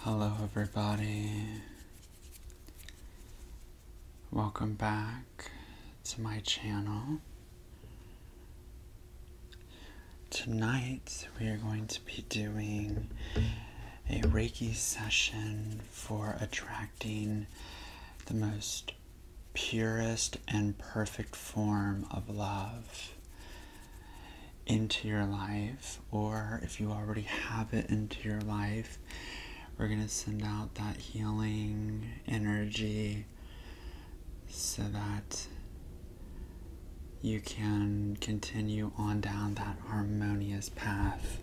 Hello, everybody. Welcome back to my channel. Tonight, we are going to be doing a Reiki session for attracting the most purest and perfect form of love into your life, or if you already have it into your life, we're going to send out that healing energy so that you can continue on down that harmonious path.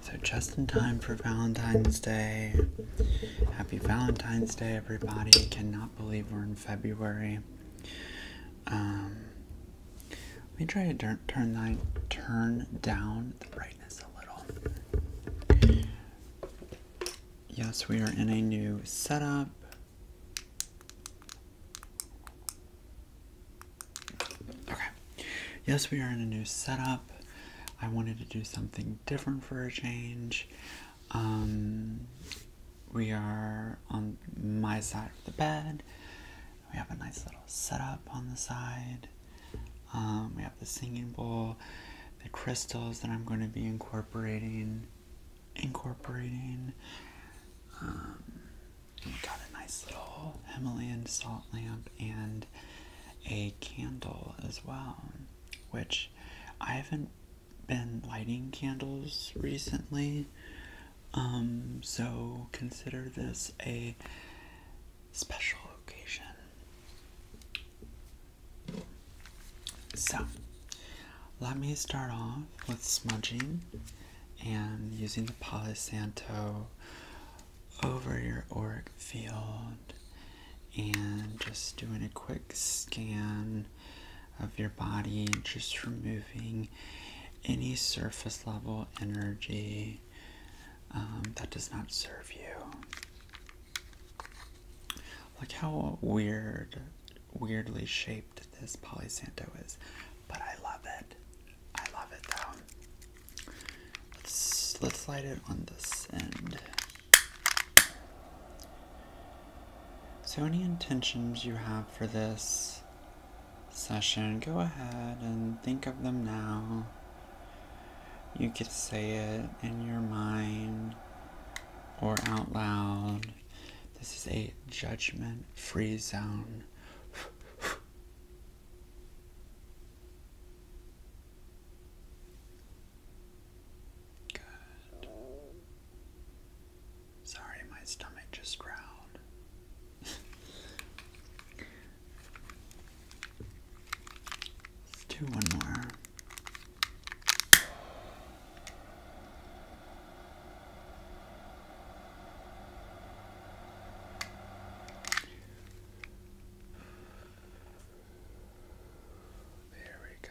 So, just in time for Valentine's Day. Happy Valentine's Day, everybody. Cannot believe we're in February. Um, let me try to turn turn turn down the brightness a little. Yes, we are in a new setup. Okay. Yes, we are in a new setup. I wanted to do something different for a change. Um, we are on my side of the bed. We have a nice little setup on the side. Um, we have the singing bowl, the crystals that I'm going to be incorporating. Incorporating. Um, we got a nice little Himalayan salt lamp and a candle as well, which I haven't been lighting candles recently. Um, so consider this a special occasion. So, let me start off with smudging and using the Palo over your auric field and just doing a quick scan of your body, just removing any surface level energy um, that does not serve you. Look how weird, weirdly shaped this Polisanto is, but I love it. I love it though. Let's, let's light it on this end. So, any intentions you have for this session, go ahead and think of them now. You could say it in your mind or out loud. This is a judgment free zone. Good. Sorry, my stomach just growled. let one more. There we go.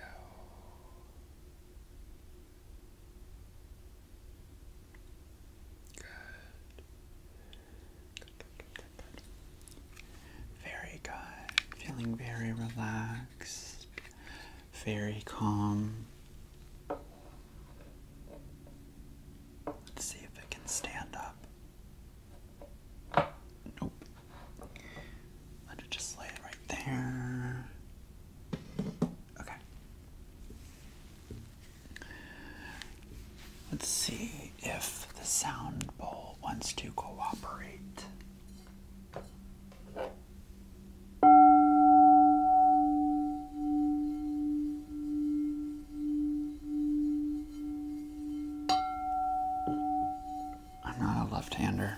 Good. Very good. Feeling very relaxed, very calm. Let's see if it can stand up. Nope. Let it just lay right there. Okay. Let's see if the sound bowl wants to cooperate. I'm not a left hander.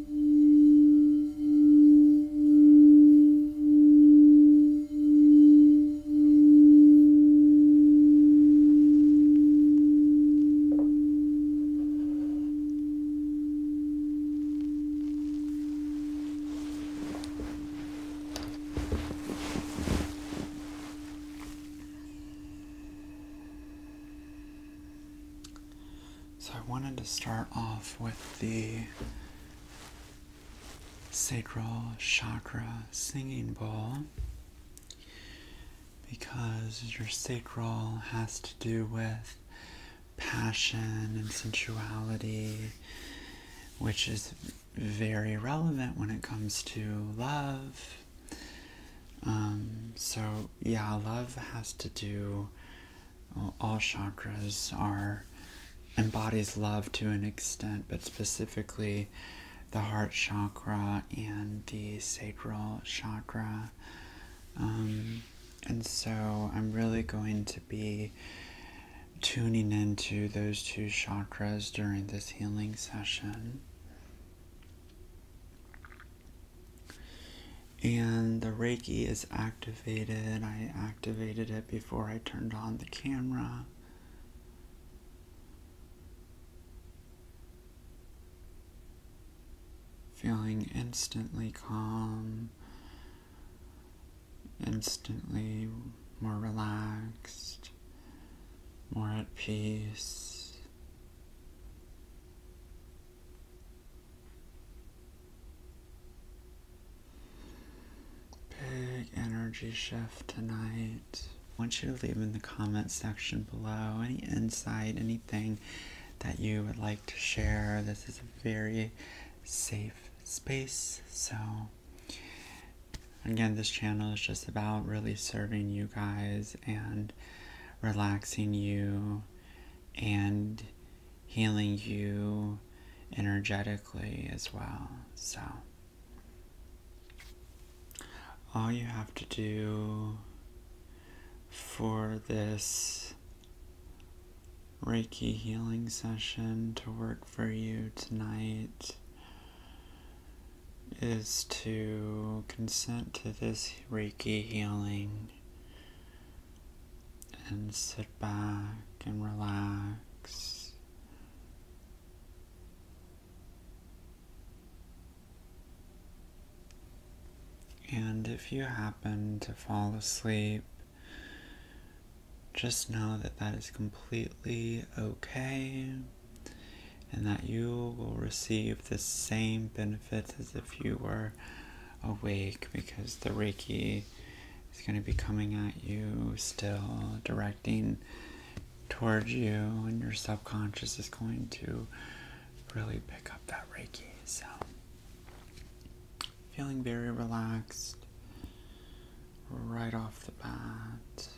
So I wanted to start off with the sacral chakra singing bowl because your sacral has to do with passion and sensuality, which is very relevant when it comes to love. Um, so, yeah, love has to do all chakras are embodies love to an extent, but specifically the heart chakra and the sacral chakra. Um, and so I'm really going to be tuning into those two chakras during this healing session and the Reiki is activated. I activated it before I turned on the camera. Feeling instantly calm, instantly more relaxed, more at peace. Big energy shift tonight. I want you to leave in the comment section below any insight, anything that you would like to share. This is a very safe space. So, again, this channel is just about really serving you guys and relaxing you and healing you energetically as well. So, all you have to do for this Reiki healing session to work for you tonight is to consent to this Reiki healing and sit back and relax. And if you happen to fall asleep, just know that that is completely okay and that you will receive the same benefits as if you were awake because the Reiki it's going to be coming at you still, directing towards you, and your subconscious is going to really pick up that Reiki. So, feeling very relaxed right off the bat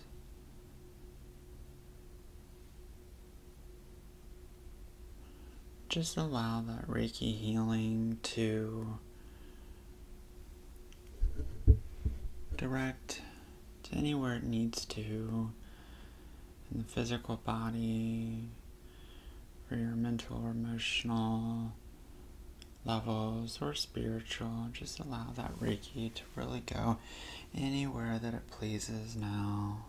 just allow that Reiki healing to direct to anywhere it needs to in the physical body or your mental or emotional levels or spiritual. Just allow that Reiki to really go anywhere that it pleases now.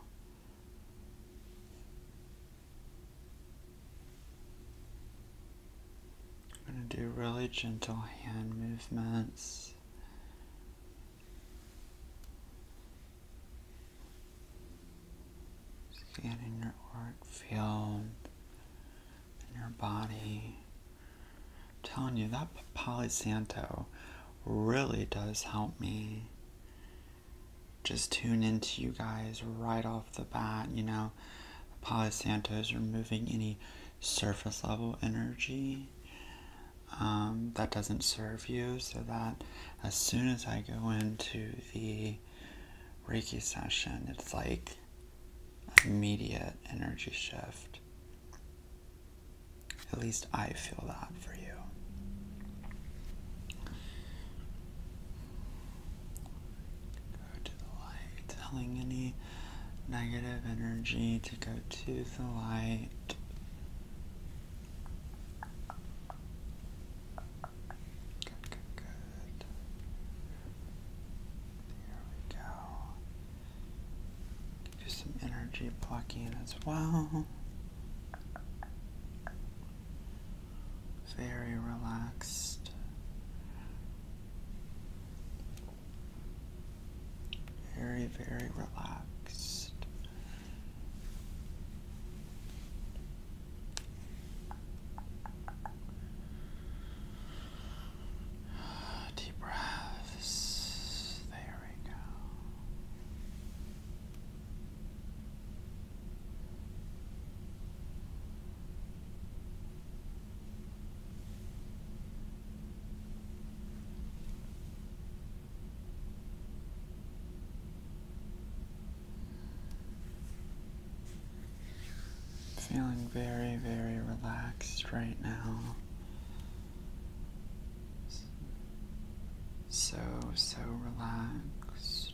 I'm going to do really gentle hand movements. Scanning your heart, field and your body. telling you, that Palo Santo really does help me just tune into you guys right off the bat, you know. Palo Santos removing any surface level energy um, that doesn't serve you, so that as soon as I go into the Reiki session, it's like immediate energy shift. At least I feel that for you. Go to the light, telling any negative energy to go to the light. Good, good, good. There we go. Do some energy plucking as well very relaxed. Very, very relaxed. Deep breaths. There we go. Feeling very, very relaxed right now. So, so relaxed.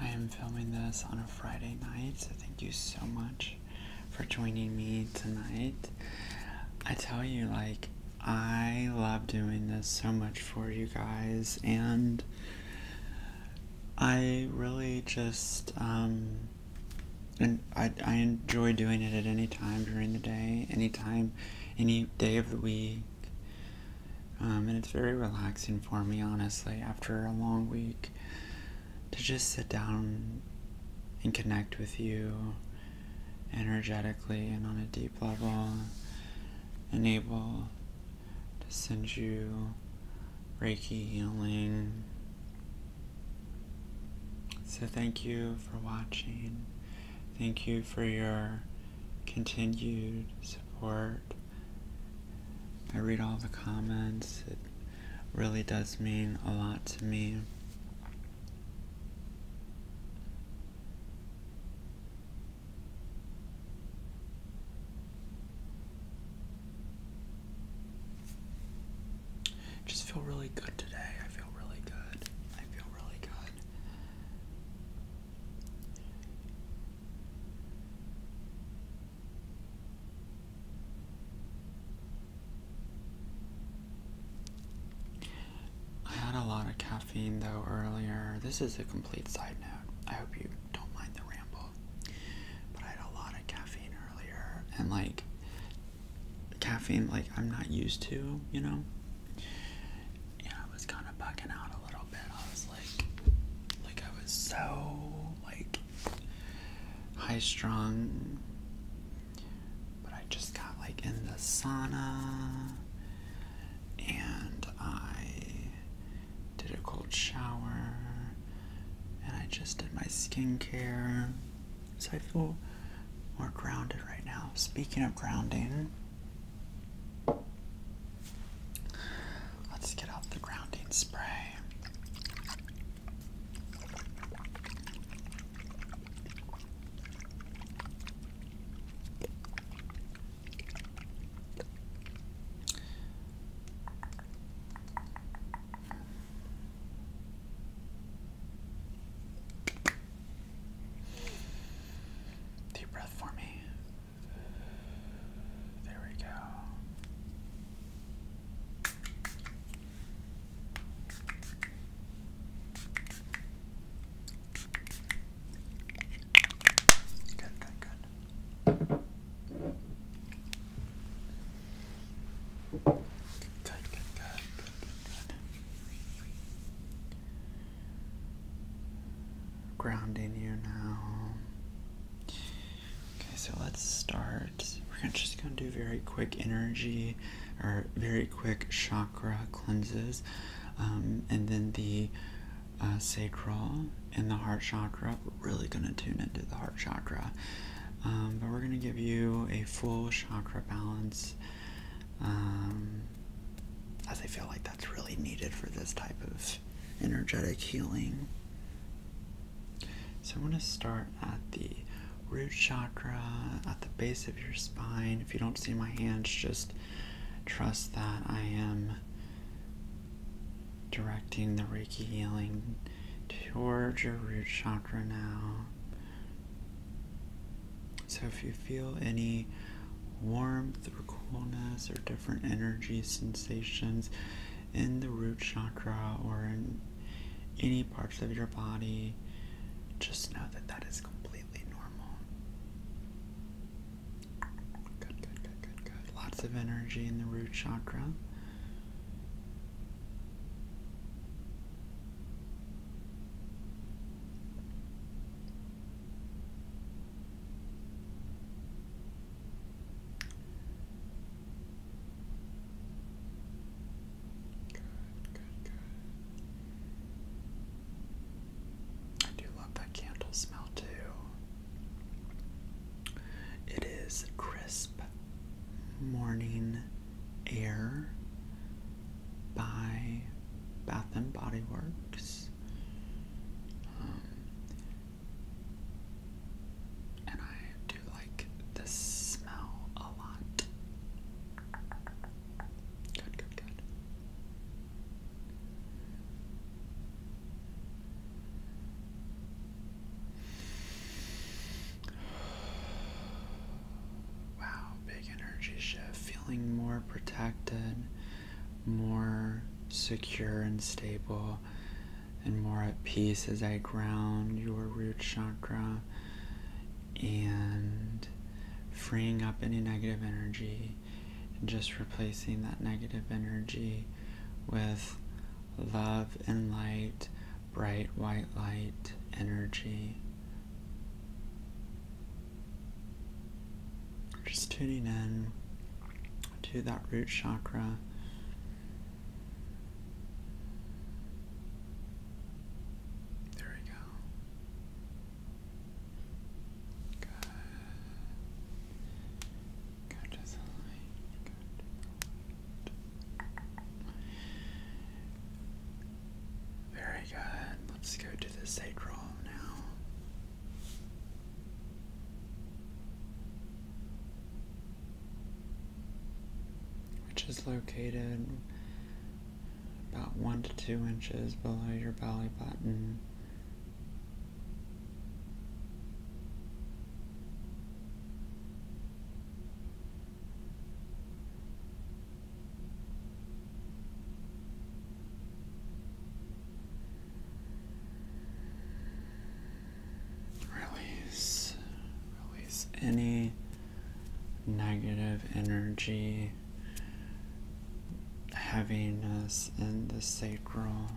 I am filming this on a Friday night, so thank you so much for joining me tonight. I tell you, like, I love doing this so much for you guys, and I really just, um, and I, I enjoy doing it at any time during the day, any time, any day of the week. Um, and it's very relaxing for me, honestly, after a long week to just sit down and connect with you energetically and on a deep level, and able to send you Reiki healing. So, thank you for watching. Thank you for your continued support. I read all the comments. It really does mean a lot to me. Just feel really good today. I feel really good. I feel really good. I had a lot of caffeine though earlier. This is a complete side note. I hope you don't mind the ramble. But I had a lot of caffeine earlier and like caffeine like I'm not used to, you know and I was kind of bucking out a little bit. I was like, like I was so like high strung, but I just got like in the sauna, and I did a cold shower, and I just did my skincare. So I feel more grounded right now. Speaking of grounding. Let's get out the grounding spray. Deep breath for me. There we go. Good, good, good. Good, good, good, good, good, grounding you now. Okay, so let's start. We're just going to do very quick energy or very quick chakra cleanses, um, and then the uh, sacral and the heart chakra. really going to tune into the heart chakra. Um, but we're going to give you a full chakra balance. Um, as I feel like that's really needed for this type of energetic healing. So, I am going to start at the root chakra, at the base of your spine. If you don't see my hands, just trust that I am directing the Reiki healing towards your root chakra now. So, if you feel any warmth or coolness or different energy sensations in the root chakra or in any parts of your body, just know that that is completely normal. Good, good, good, good, good. Lots of energy in the root chakra. Good, good, good. I do love that candle smell too. It is Crisp Morning Air by Bath and Body Works. Um, and I do like the smell a lot. Wow, big energy shift. Feeling more protected, more secure and stable and more at peace as I ground your root chakra and freeing up any negative energy and just replacing that negative energy with love and light, bright white light energy. Just tuning in to that root chakra. There we go. Good. Go Very good. Let's go to the sacrum now. Which is located about one to two inches below your belly button. Release, release any negative energy heaviness in the sacral.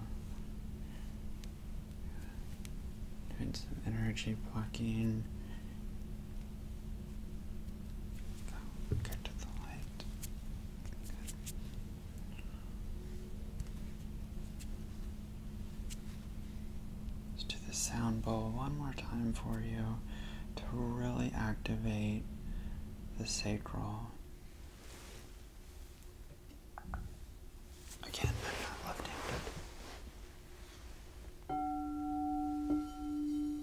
Doing some energy blocking. So, get to the light. Let's do the sound bowl one more time for you to really activate the sacral. Again, left handed.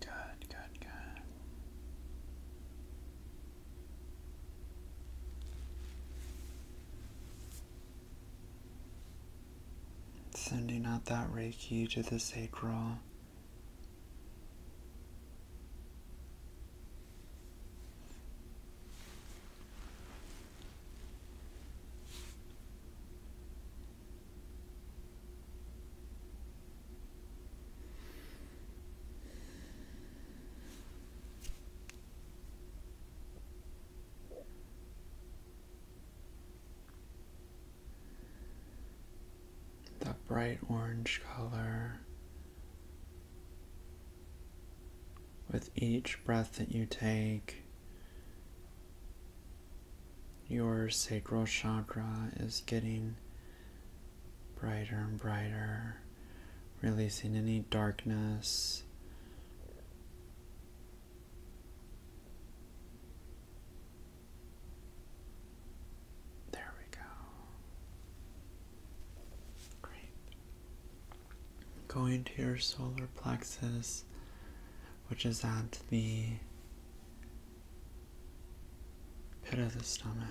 Good, good, good. Sending out that Reiki to the sacral. That bright orange color. With each breath that you take, your sacral chakra is getting brighter and brighter, releasing any darkness. There we go. Great. Going to your solar plexus, which is at the pit of the stomach.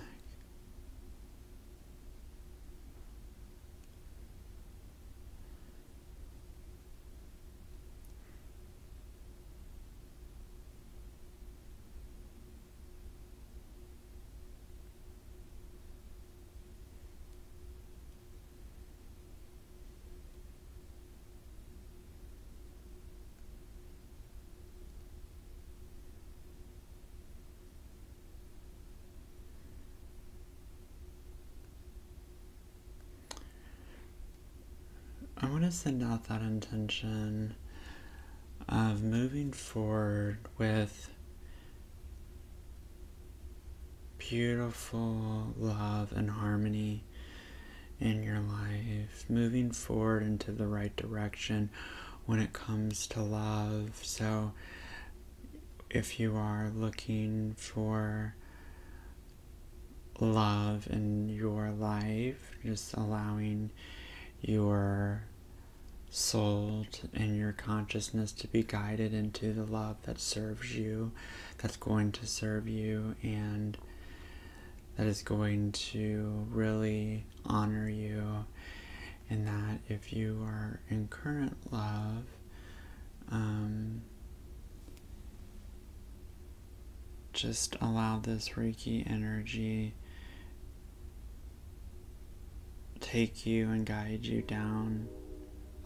I want to send out that intention of moving forward with beautiful love and harmony in your life, moving forward into the right direction when it comes to love. So, if you are looking for love in your life, just allowing your soul and your consciousness to be guided into the love that serves you, that's going to serve you, and that is going to really honor you, and that if you are in current love, um, just allow this Reiki energy take you and guide you down.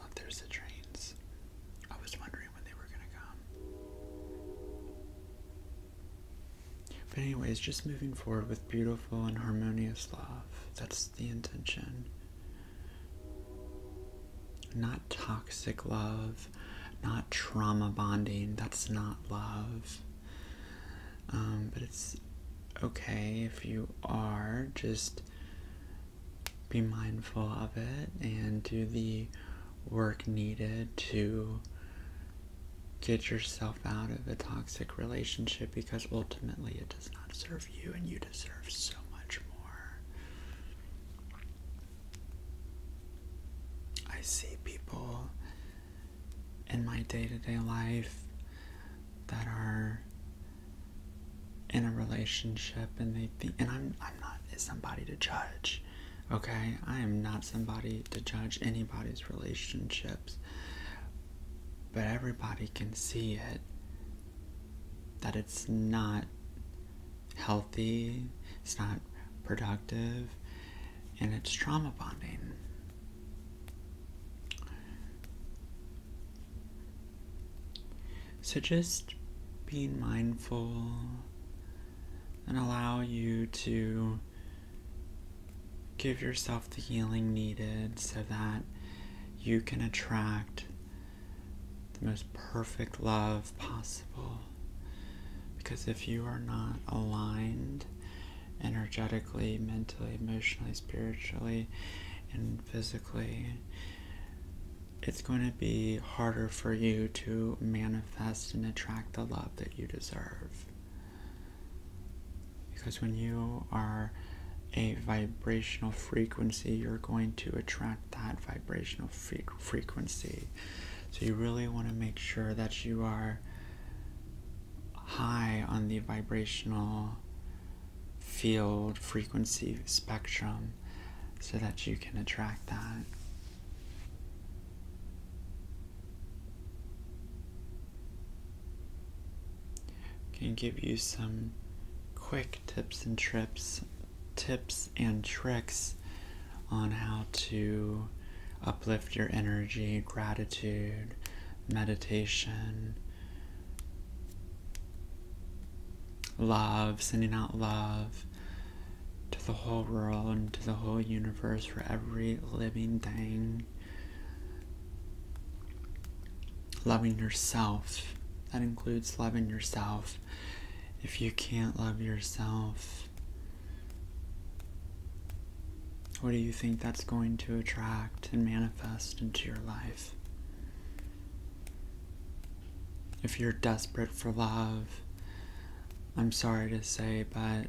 Oh, there's the trains. I was wondering but, anyways, just moving forward with beautiful and harmonious love. That's the intention. Not toxic love, not trauma bonding. That's not love. Um, but it's okay if you are. Just be mindful of it and do the work needed to get yourself out of a toxic relationship because ultimately it does not serve you and you deserve so much more. I see people in my day to day life that are in a relationship and they think and I'm I'm not somebody to judge Okay, I am not somebody to judge anybody's relationships, but everybody can see it that it's not healthy, it's not productive, and it's trauma bonding. So just being mindful and allow you to give yourself the healing needed so that you can attract the most perfect love possible. Because if you are not aligned energetically, mentally, emotionally, spiritually, and physically, it's going to be harder for you to manifest and attract the love that you deserve. Because when you are a vibrational frequency, you're going to attract that vibrational frequency. So you really want to make sure that you are high on the vibrational field frequency spectrum so that you can attract that. Can give you some quick tips and trips, tips and tricks on how to uplift your energy, gratitude, meditation, love, sending out love, to the whole world and to the whole universe for every living thing. Loving yourself. That includes loving yourself. If you can't love yourself, what do you think that's going to attract and manifest into your life? If you're desperate for love, I'm sorry to say, but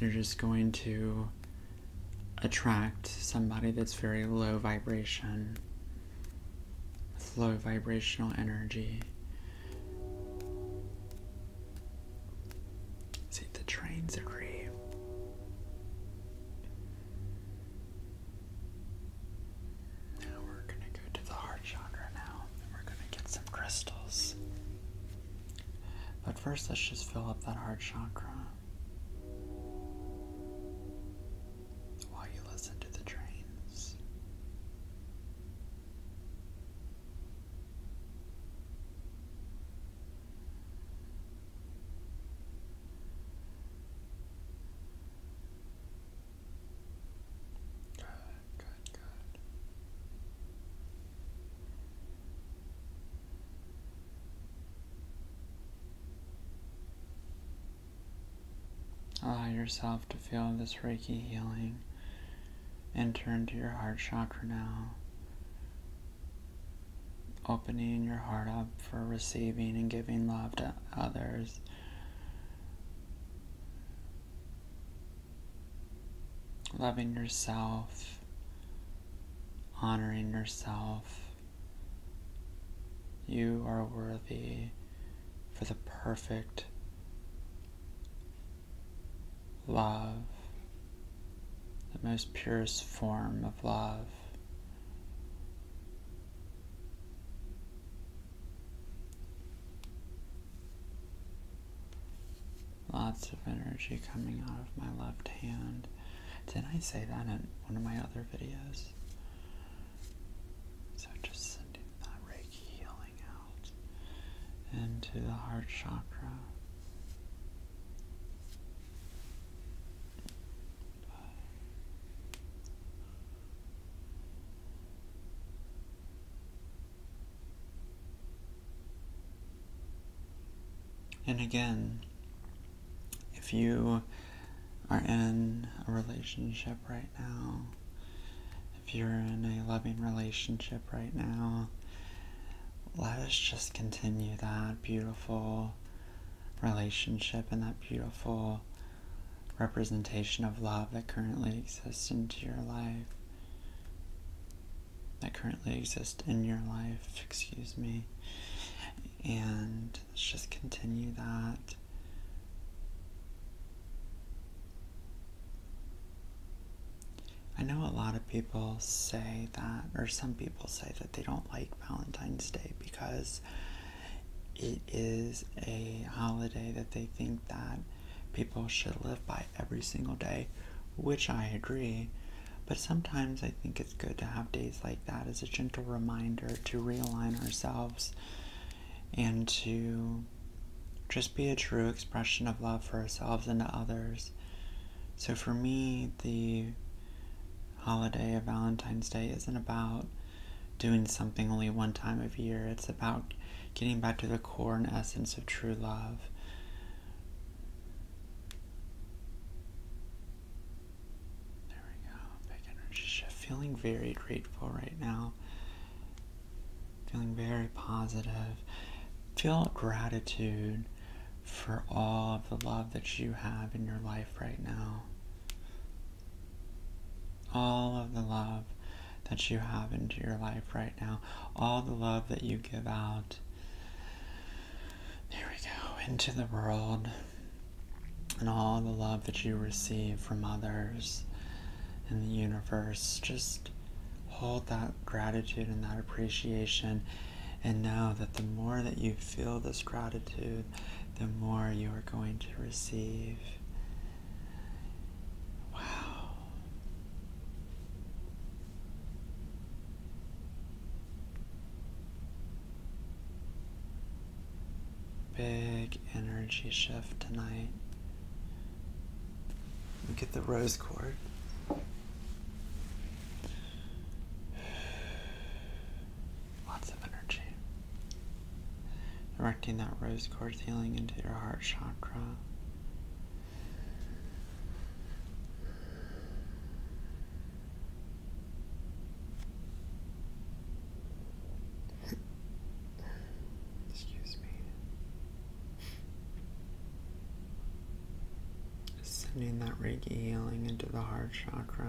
you're just going to attract somebody that's very low vibration, low vibrational energy. See, the trains agree. Now we're going to go to the heart chakra now, we're going to get some crystals. But first, let's just fill up that heart chakra while you listen to the trains. Allow yourself to feel this Reiki healing enter into your heart chakra now, opening your heart up for receiving and giving love to others Loving yourself, honoring yourself. You are worthy for the perfect love, the most purest form of love. Lots of energy coming out of my left hand. Did I say that in one of my other videos? So just sending that Reiki healing out into the heart chakra. And again, if you are in a relationship right now, if you're in a loving relationship right now, let us just continue that beautiful relationship and that beautiful representation of love that currently exists into your life that currently exists in your life, excuse me. And let's just continue that. I know a lot of people say that, or some people say that they don't like Valentine's Day because it is a holiday that they think that people should live by every single day, which I agree. But sometimes I think it's good to have days like that as a gentle reminder to realign ourselves and to just be a true expression of love for ourselves and to others. So for me, the holiday of Valentine's Day isn't about doing something only one time of year. It's about getting back to the core and essence of true love. There we go. Big energy shift. Feeling very grateful right now. Feeling very positive. Feel gratitude for all of the love that you have in your life right now. All of the love that you have into your life right now, all the love that you give out. There we go, into the world, and all the love that you receive from others in the universe. Just hold that gratitude and that appreciation, and know that the more that you feel this gratitude, the more you are going to receive. Wow. Big energy shift tonight. Look at the rose quartz. Lots of energy directing that rose quartz healing into your heart chakra. Excuse me. Sending that Reiki healing into the heart chakra.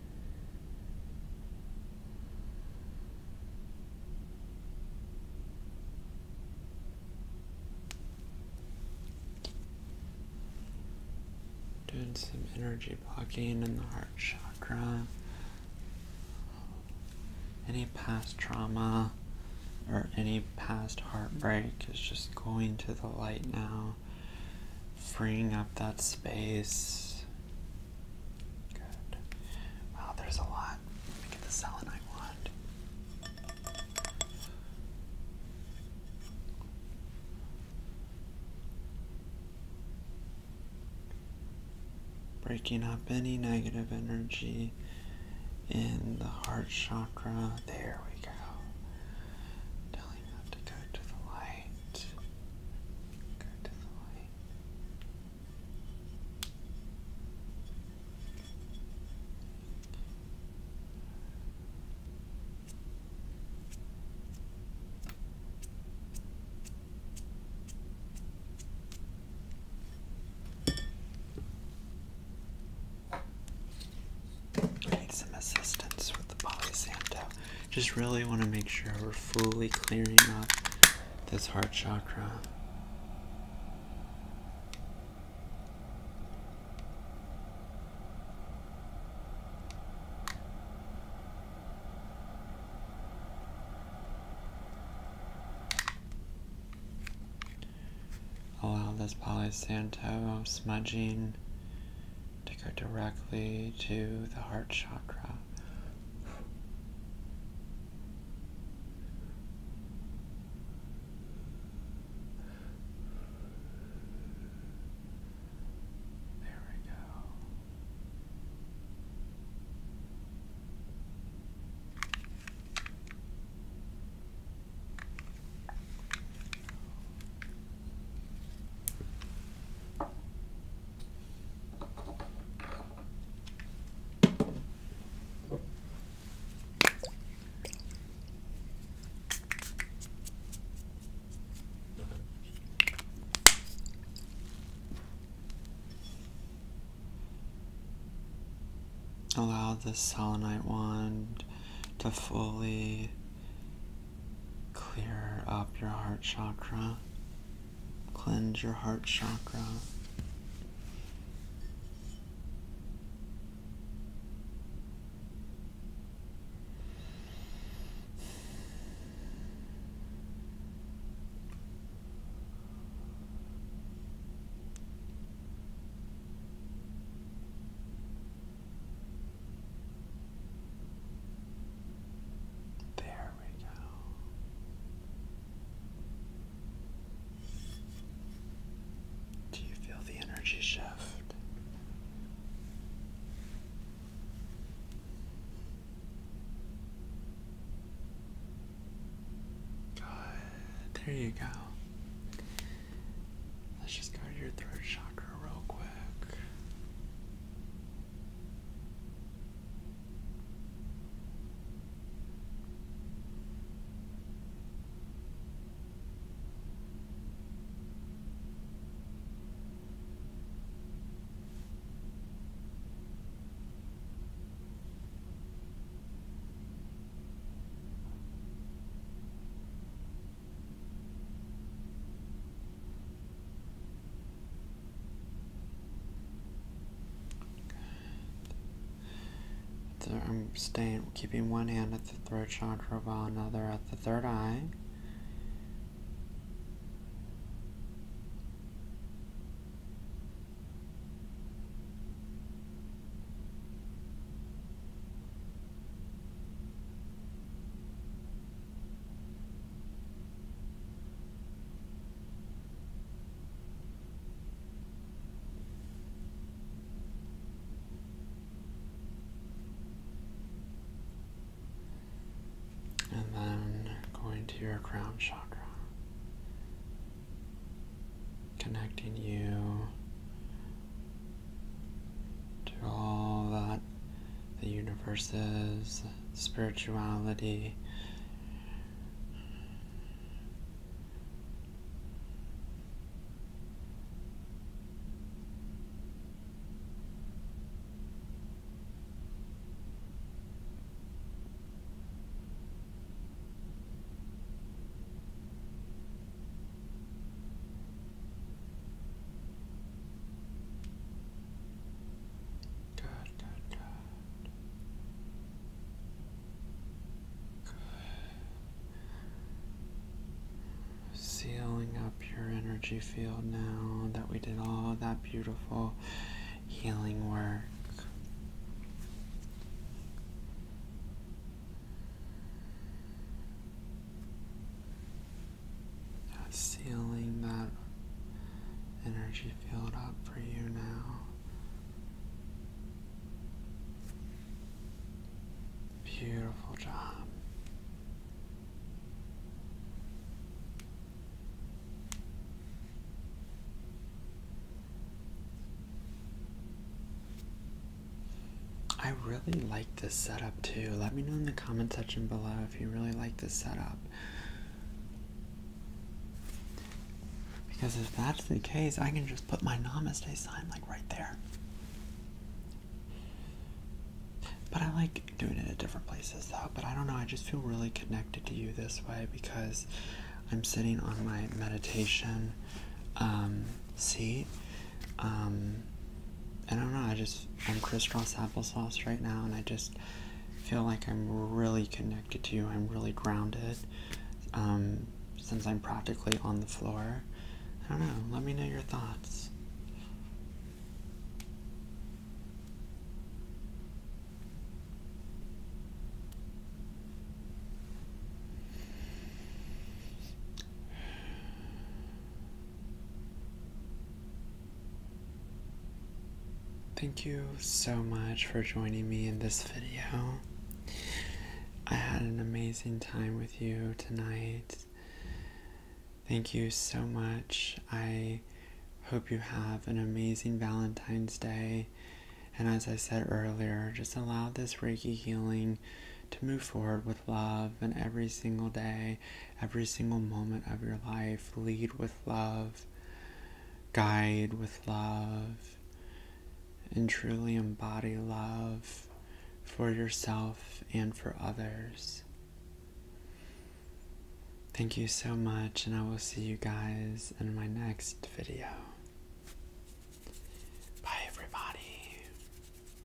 Doing some energy blocking in the heart chakra. Any past trauma or any past heartbreak is just going to the light now freeing up that space. Good. Wow, there's a lot. Let me get the selenite wand. Breaking up any negative energy in the heart chakra. There we go. Telling you have to go to the light. Go to the light. need some assistance with the Polysanta just really want to make sure we're fully clearing up this heart chakra. Allow this polysanto smudging to go directly to the heart chakra. There we go. Allow the selenite wand to fully Clear up your heart chakra, cleanse your heart chakra. There we go. Do you feel the energy shift? Good. There you go. Let's just go to your third chakra real quick. I'm staying, keeping one hand at the throat chakra while another at the third eye. And then going to your crown chakra, connecting you to all that the universe is, spirituality. Good, good, good. Sealing up your energy field now that we did all that beautiful healing work. Now sealing that energy field up for you now. Beautiful job. I really like this setup too. Let me know in the comment section below if you really like this setup. Because if that's the case, I can just put my namaste sign like right there. But I like doing it at different places though. But I don't know, I just feel really connected to you this way because I'm sitting on my meditation um, seat um, I don't know. I just I'm crisscross applesauce right now, and I just feel like I'm really connected to you. I'm really grounded. Um, since I'm practically on the floor, I don't know. Let me know your thoughts. Thank you so much for joining me in this video. I had an amazing time with you tonight. Thank you so much. I hope you have an amazing Valentine's Day. And as I said earlier, just allow this Reiki healing to move forward with love and every single day every single moment of your life. Lead with love, guide with love, and truly embody love for yourself and for others. Thank you so much, and I will see you guys in my next video. Bye, everybody.